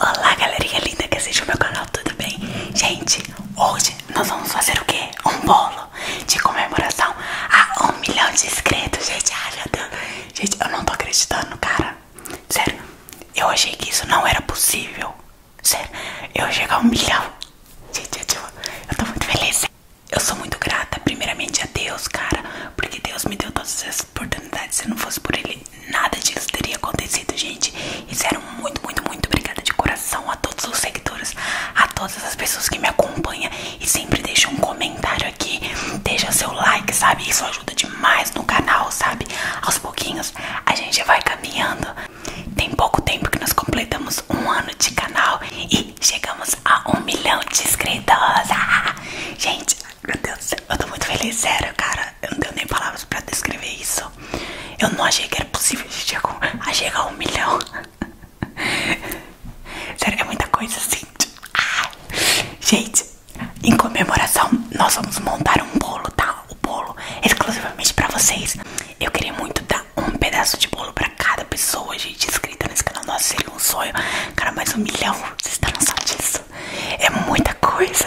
Olá galerinha linda que assiste meu canal, tudo bem? Gente, hoje nós vamos fazer o quê? Um bolo de comemoração a um milhão de inscritos, gente Ai meu Deus, gente eu não tô acreditando, cara Sério, eu achei que isso não era possível Sério, eu chegar a é um milhão Gente, eu, eu tô muito feliz Eu sou muito grata, primeiramente a Deus, cara Porque Deus me deu todas essas oportunidades, se não fosse por ele nada disso teria acontecido, gente. E muito, muito, muito obrigada de coração a todos os seguidores, a todas as pessoas que me acompanham e sempre deixam um comentário aqui, deixa seu like, sabe? Isso ajuda demais no canal, sabe? Aos pouquinhos a gente vai caminhando. Tem pouco tempo que nós completamos um ano de canal e chegamos a um milhão de inscritos. Ah, gente, meu Deus do céu, eu tô muito feliz, sério, cara. Eu não tenho nem palavras pra descrever isso. Eu não achei que era possível a chegar a um milhão. Sério, é muita coisa assim. Gente, em comemoração, nós vamos montar um bolo, tá? O bolo exclusivamente pra vocês. Eu queria muito dar um pedaço de bolo pra cada pessoa, gente, inscrita nesse canal. Nossa, seria um sonho. Cara, mais um milhão. Vocês estão noção disso? É muita coisa.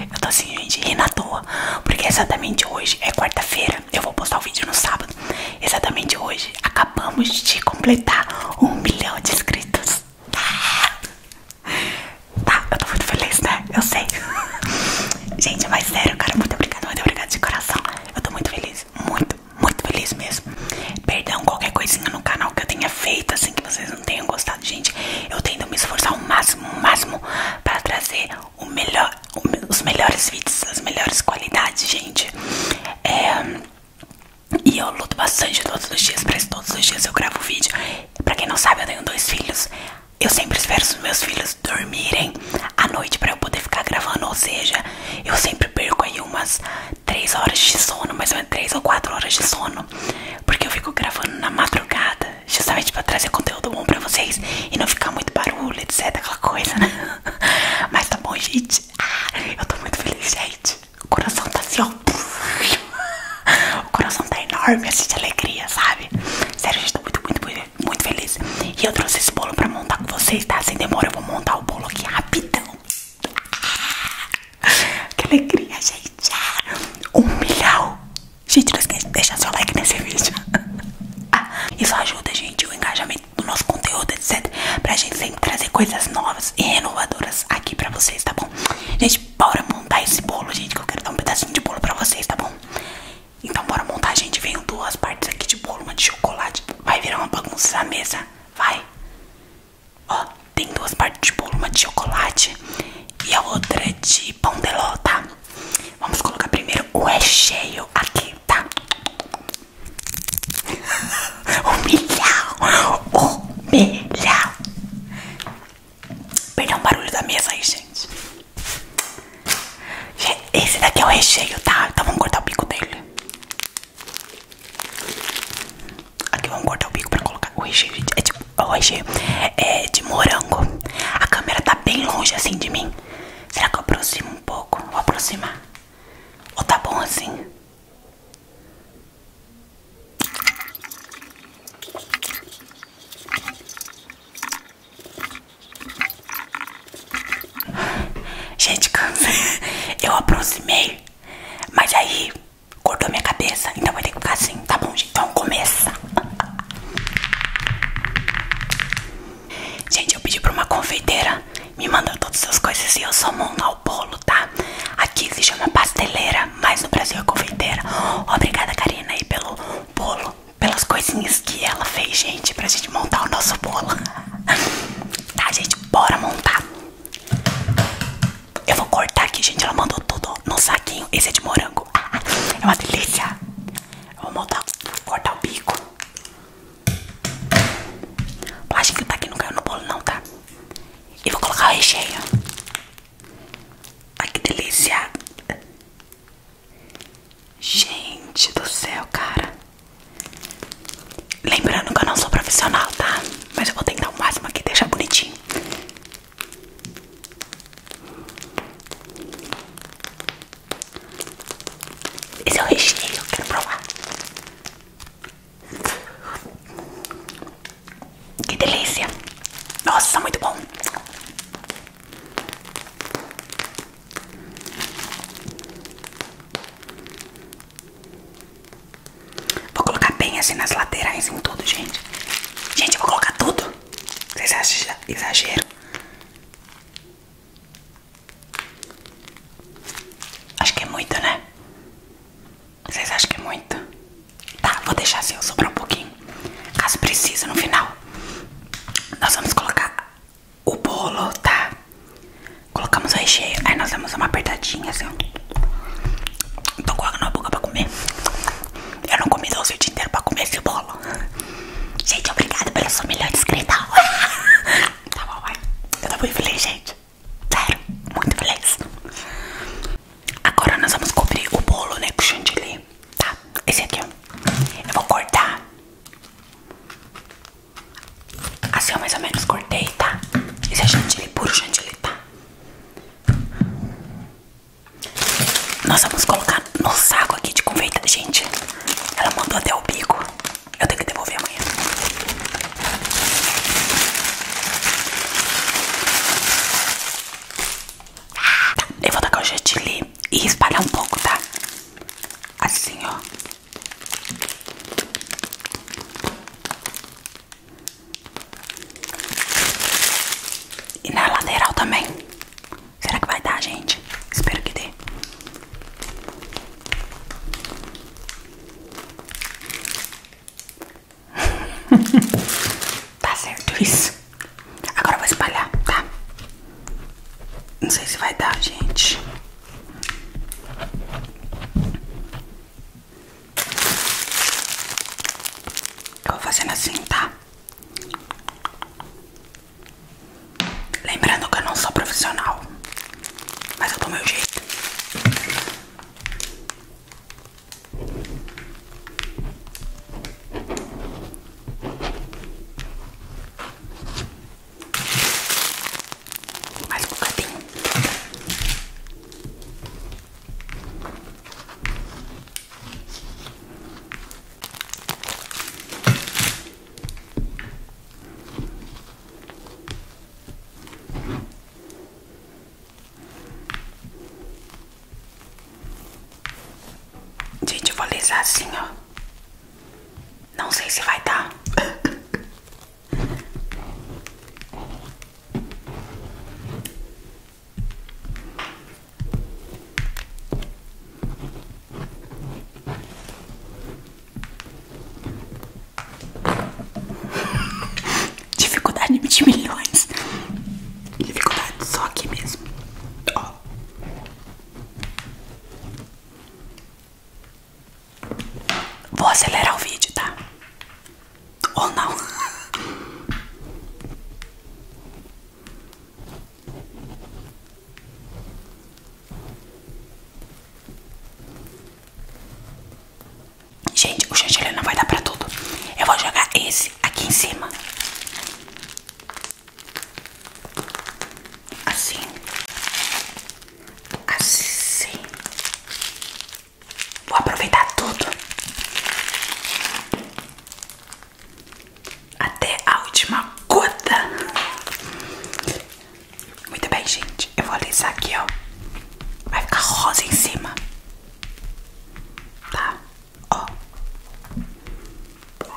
Eu tô assim, gente, rindo na toa. Porque exatamente hoje é quarta-feira. Eu vou postar o vídeo no sábado. Exatamente hoje acabamos de completar um milhão de inscritos. Tá, tá, eu tô muito feliz, né? Eu sei. Gente, mas sério, cara, muito obrigada, muito obrigada de coração. Eu tô muito feliz, muito, muito feliz mesmo. Perdão qualquer coisinha no canal que eu tenha feito, assim, que vocês tenham gostado, gente. Eu tento me esforçar o máximo, o máximo para trazer o melhor, os melhores vídeos, as melhores qualidades, gente. É, e eu luto bastante todos os dias, pra isso todos os dias eu gravo vídeo. Pra quem não sabe, eu tenho dois filhos. Eu sempre espero os meus filhos dormirem à noite pra eu poder ficar gravando. Ou seja, eu sempre perco aí umas 3 horas de sono, mas ou menos 3 ou 4 horas de sono, porque eu fico gravando na madrugada, justamente para trazer conteúdo bom para vocês e não ficar muito barulho, etc, aquela coisa, né? Mas tá bom, gente. Ah, eu tô muito feliz, gente. O coração tá assim, ó. O coração tá enorme, assim, de alegria, sabe? Sério, gente, tô muito, muito, muito, feliz. E eu trouxe esse bolo pra montar com vocês, tá? Sem demora, eu vou montar o bolo aqui rapidão. Que alegria, gente! humilhão Gente, não esquece de deixar seu like nesse vídeo. isso ajuda, gente, o engajamento do nosso conteúdo, etc. Pra gente sempre trazer coisas novas e renovadoras aqui pra vocês, tá bom? Gente, bora montar esse bolo, gente, que eu quero dar um pedacinho de bolo pra vocês, tá bom? Então bora montar, gente. Venho duas partes aqui de bolo, uma de chocolate. Vai virar uma bagunça na mesa. Vai. Ó, tem duas partes de bolo, uma de chocolate e a outra é de pão de ló, tá? Vamos colocar primeiro o recheio é aqui, tá? O milhão, o milhão. Perdão barulho da mesa aí, gente. Esse daqui é o recheio, tá? Então vamos cortar o bico dele. Aqui vamos cortar o bico pra colocar o recheio é de, o recheio é de morango. A câmera tá bem longe assim de mim. Será que eu aproximo um pouco? Vou aproximar. Ou tá bom assim? Gente, cansei. Eu aproximei, mas aí cortou minha cabeça, então vai ter que ficar assim, tá bom, gente? Então começa! Gente, eu pedi pra uma confeiteira me mandou todas essas coisas e eu só monto ao bolo, tá? Aqui se chama pasteleira, mas no Brasil é confeiteira. Obrigada, Karina, aí pelo bolo, pelas coisinhas que ela fez, gente, pra gente montar o nosso bolo. tá, gente, bora montar. Eu vou cortar aqui, gente. Ela mandou tudo no saquinho. Esse é de morango. Ah, é uma delícia. Eu vou montar, cortar o bico. O plástico tá aqui, não caiu no bolo, não, tá? E vou colocar o recheio. Ai, que delícia. Gente do céu, cara. Lembrando que eu não sou profissional, tá? Mas eu vou tentar o máximo aqui deixar bonitinho. Esse é o recheio, quero provar. Que delícia! Nossa, muito bom! Vou colocar bem assim nas laterais em tudo, gente. Gente, eu vou colocar tudo. Vocês acham que exagero? Acho que é muito, né? Vocês acham que é muito? Tá, vou deixar assim, sobrar um pouquinho. Caso precise, no final. Nós vamos colocar o bolo, tá? Colocamos o recheio, aí nós damos uma apertadinha assim. Tô com água na boca pra comer. Eu não comi doce o dia inteiro pra comer esse bolo. Gente, obrigado pela sua melhor inscrita. tá bom, vai. Eu tô muito feliz, gente. Sério, muito feliz. Agora nós vamos cobrir o bolo, né, com chantilly. Tá, esse aqui, ó. Eu vou cortar. Assim, eu mais ou menos cortei, tá? Esse é chantilly, puro chantilly, tá? Nós vamos colocar no saco aqui de confeita. Gente, ela mandou até o bico. Eu tenho que devolver amanhã. eu vou tacar o chantilly e espalhar um pouco, tá? Assim, ó. E na lateral também. Será que vai dar, gente? Espero que dê. tá certo isso. Agora eu vou espalhar, tá? Não sei se vai dar, gente. Eu vou fazendo assim, tá? Lembrando que eu não sou profissional, mas eu dou meu jeito. Mais bocadinho. Gente, vou lesar assim, ó. Não sei se vai dar. Dificuldade de milhões. Dificuldade só aqui mesmo. Vou acelerar o vídeo, tá? Ou não? Gente, o chantilly não vai dar pra tudo. Eu vou jogar esse aqui em cima. Assim. Assim. Vou aproveitar tudo. Até a última gota. Muito bem, gente. Eu vou alisar aqui, ó. Vai ficar rosa em cima. Tá? Ó.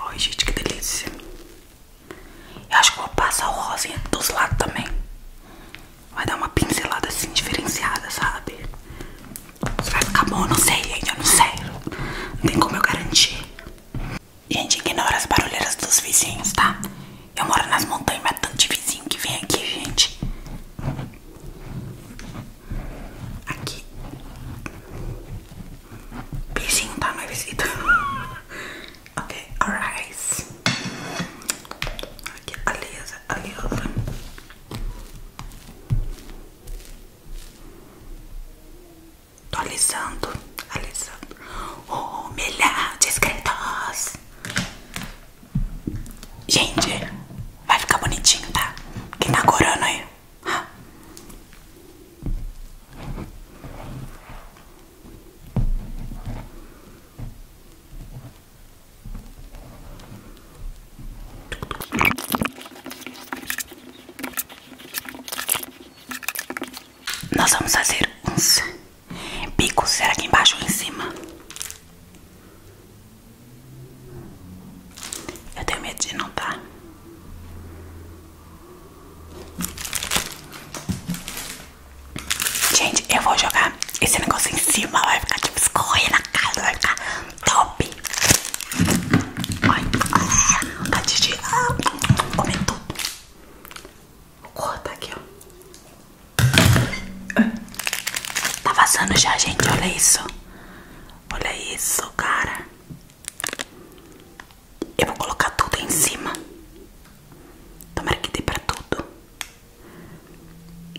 Ai, gente, que delícia. Eu acho que vou passar o rosinha dos lados também. Vai dar uma pincelada assim diferenciada, sabe? Se vai ficar bom, eu não sei, ainda eu não sei. Não tem como eu garantir. Gente, ignora as barulheiras dos vizinhos, tá? Eu moro nas montanhas, mas é tanto de vizinho que vem aqui, gente. Aqui. vizinho tá? Minha visita. Ok, alright. Aqui, aliasa, aliasa. Tô alisando, alisando. Oh, milhão de Gente, vai ficar bonitinho, tá? Quem tá corando aí? Nós vamos fazer uns picos, será que embaixo ou em cima? Eu tenho medo de não tá. Gente, eu vou jogar esse negócio em cima, vai ficar tipo escorrer na casa, vai ficar top. Olha, é, a Titi ah, comeu tudo. Corta aqui, ó. Tá vazando já, gente, olha isso. Olha isso, cara. Eu vou colocar tudo em cima. Tomara que dê pra tudo.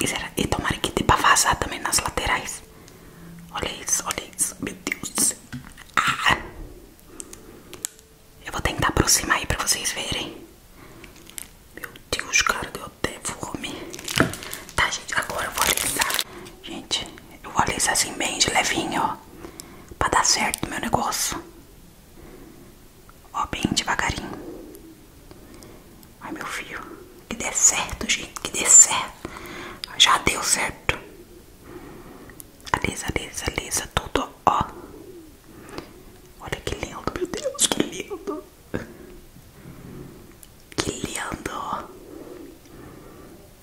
E, será, e tomara que dê pra vazar também nas laterais. Olha isso, olha isso. Meu Deus do céu. Ah! Eu vou tentar aproximar aí pra vocês verem. Meu Deus, cara, deu até fome. Tá, gente, agora eu vou alisar. Gente, eu vou alisar assim bem de levinho, ó. Pra dar certo meu negócio. Ó, bem devagarinho. Ai, meu filho. Que dê certo, gente. Que dê certo. Já deu certo. Alisa, alisa, alisa. Tudo, ó. Olha que lindo, meu Deus. Que lindo. Que lindo.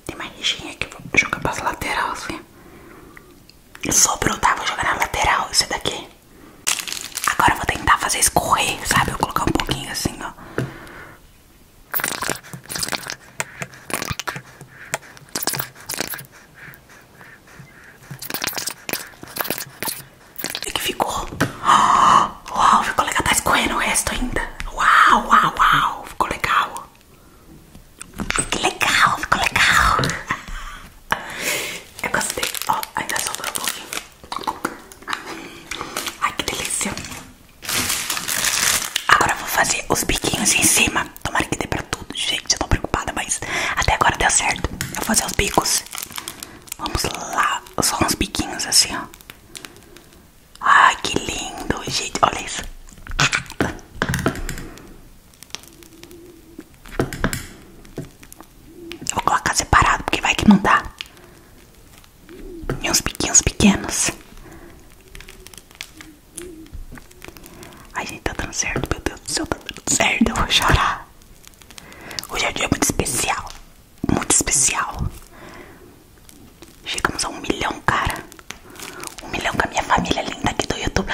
Tem mais rixinha que vou jogar pras lateral, assim. Sobrou, tá? Vou jogar na lateral. Esse daqui. Agora eu vou tentar fazer escorrer, sabe? Eu vou colocar um pouquinho assim, ó. E que ficou? Oh, uau, ficou legal. Tá escorrendo o resto ainda. Uau, uau, uau. Ficou legal. Que legal, ficou legal. É eu gostei. Ó, ainda sobrou um pouquinho. Ai, que delícia. Agora eu vou fazer os biquinhos em cima. Tomara que dê pra tudo. Gente, eu tô preocupada, mas até agora deu certo. Eu vou fazer os bicos. Vamos lá. Só uns biquinhos assim, ó. Ai, que lindo, gente. Olha isso. Eu vou colocar separado porque vai que não dá. E uns biquinhos pequenos. Ai, gente, tá dando certo. Meu Deus do céu, tá dando certo. Eu vou chorar. Hoje é um dia muito especial. Muito especial. Chegamos a um milhão, cara. Um milhão com a minha família linda aqui do YouTube.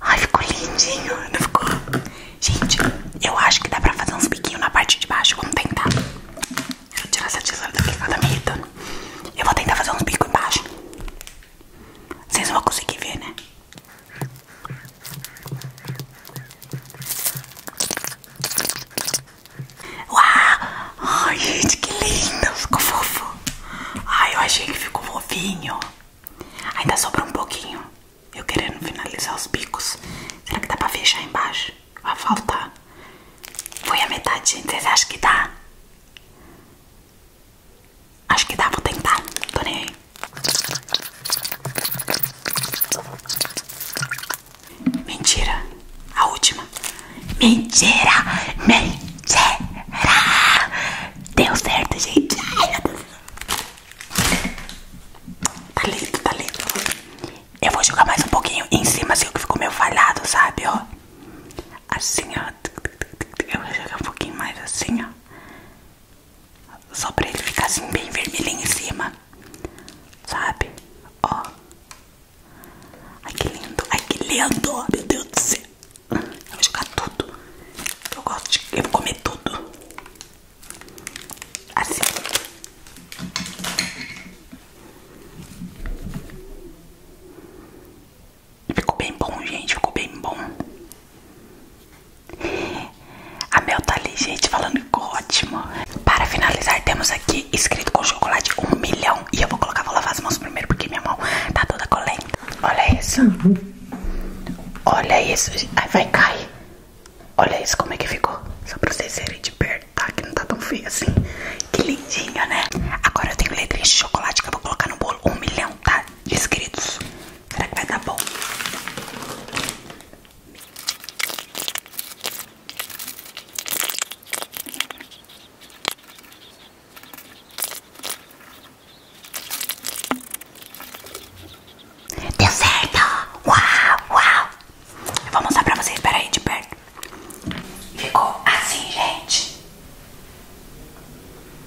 Ai, ficou lindinho, não ficou? Gente, eu acho que dá pra fazer uns biquinhos na parte de baixo. Vamos tentar. Deixa tirar essa tesoura daqui, ela tá Eu vou tentar fazer uns bicos embaixo. Vocês não vão conseguir ver, né? Uau! Ai, gente, que lindo! Ficou fofo! Ai, eu achei que ficou fofinho. Ainda sobra um pouquinho. Eu querendo finalizar os bicos. Será que dá pra fechar embaixo? Vai faltar. Foi a metade, gente. Vocês acham que dá? Acho que dá, vou tentar. Tô nem aí. Mentira. A última. Mentira! Mentira! Deu certo, gente. Ai, meu Deus. Tá lindo, tá lindo. Eu vou jogar mais um pouquinho em cima, assim, que ficou meio falhado, sabe, ó. Assim, ó. Eu vou jogar um pouquinho mais assim, ó. Só pra ele ficar assim, bem vermelhinho em cima. Sabe? Ó. Ai, que lindo. Ai, que lindo. Meu Deus do céu. Eu vou jogar tudo. Eu gosto de. Eu vou comer tudo. Assim. Ficou bem bom, gente. Ficou bem bom. A Mel tá ali, gente, falando que ótimo. Para finalizar, temos aqui escrito com chocolate um milhão. E eu vou colocar, vou lavar as mãos primeiro, porque minha mão tá toda colenta. Olha isso. Olha isso, aí vai cair. Olha isso como é que ficou. Só pra vocês verem de perto, tá? Que não tá tão feio assim. Que lindinho, né? Agora eu tenho letrinha de chocolate que eu vou colocar no bolo. Um milhão, tá? De inscritos. Será que vai dar bom? Deu certo! Uau, uau! Eu vou mostrar pra vocês, peraí, de perto. Ficou assim, gente.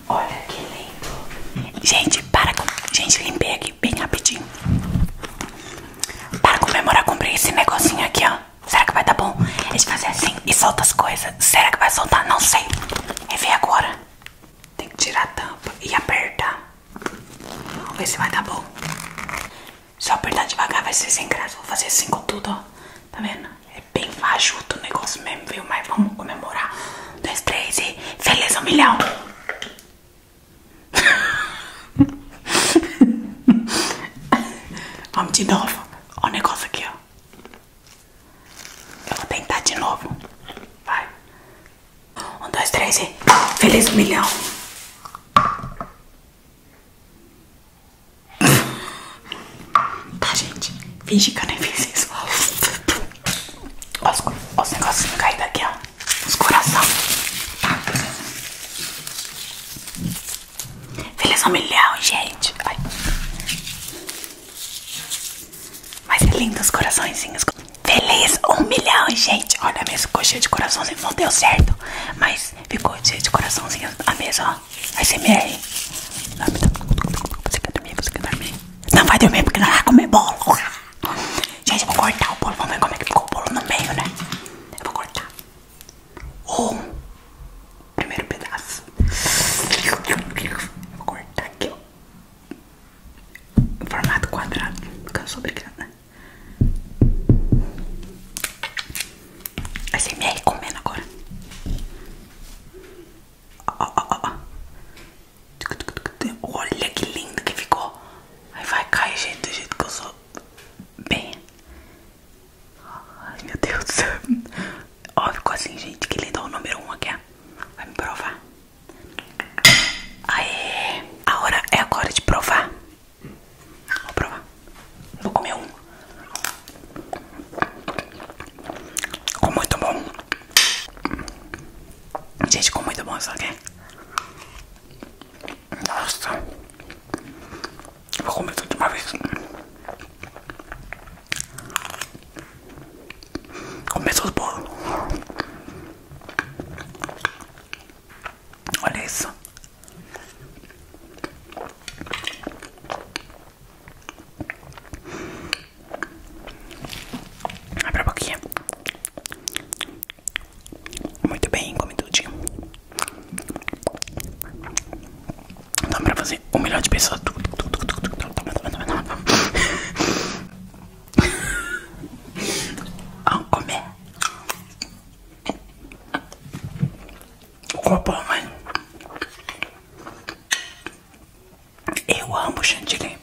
Olha que lindo. Gente, para com... Gente, limpei aqui bem rapidinho. Para comemorar, comprei esse negocinho aqui, ó. Será que vai dar bom? a gente fazem assim e solta as coisas. Será que vai soltar? Não sei. Rever agora. Tem que tirar a tampa e apertar. Vamos ver se vai dar bom. Se eu apertar devagar vai ser sem graça. Vou fazer assim com tudo, ó. Tá vendo? É bem fajuto o negócio mesmo, viu? Mas vamos comemorar. Um, dois, três e... Feliz um milhão! vamos de novo. Ó o negócio aqui, ó. Eu vou tentar de novo. Vai. Um, dois, três e. Feliz um milhão. Tá, gente. Finge que eu nem fiz isso. Os, os negocinhos caíram daqui, ó. Os coração. Tá. Feliz um milhão, gente. Ai. Mas é lindo os coraçõezinhos. Feliz um milhão, gente. Olha a mesa ficou cheia de coraçãozinhos. Não deu certo, mas ficou cheia de coraçãozinhos. A mesa, ó. ASMR. Tá. Você quer Você quer dormir? Não vai dormir porque não vai comer bolo. Gente, eu vou cortar o bolo. Vamos ver como é que ficou o bolo no meio, né? Eu vou cortar. Um. Primeiro pedaço. Eu vou cortar aqui, ó formato quadrado, cansou eu sou brincando. É vai ser me recomendo agora. Ó, ó, ó. Olha que lindo que ficou. Aí vai cair, gente, do jeito que eu sou. Bem. Ai, meu Deus do céu. Ó, ficou assim, gente. Que linda o número 1 um aqui, Vai me provar. Aê! A hora é agora de provar. Vou provar. Vou comer um. Com muito bom. Gente, com muito bom isso aqui. Nossa. Vou comer tudo de uma vez. Começou os bolos. Olha isso. Abre a boquinha. Muito bem, come tudinho. Então pra você ser o melhor de pessoa. Vamos comer. Copo, é mãe. Eu amo chantilly.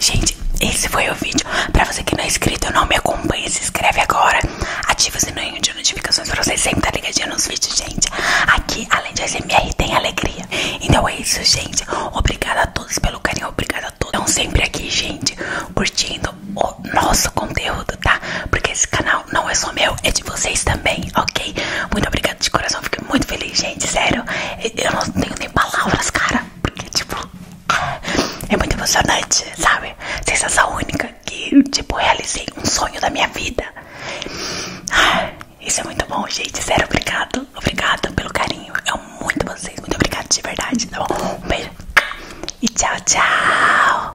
Gente, esse foi o vídeo. Pra você que não é inscrito, não me acompanha, se inscreve agora. Ativa o sininho de notificações pra você sempre estar tá ligadinho nos vídeos, gente. Aqui, além de SMR, tem alegria. Então é isso, gente. Obrigada a todos pelo carinho, obrigada a todos. Estão sempre aqui, gente, curtindo o nosso conteúdo, tá? Porque esse canal não é só meu, é de vocês também, ok? Muito obrigada de coração, fico muito feliz, gente, sério. Eu não tenho nem palavras, cara, porque, tipo, é muito emocionante, sabe? Sensação única que, tipo, realizei um sonho da minha vida. Isso é muito bom, gente, sério, obrigado, obrigado pelo carinho. Eu amo muito vocês, muito obrigado de verdade, tá bom? Um beijo. E tchau, tchau!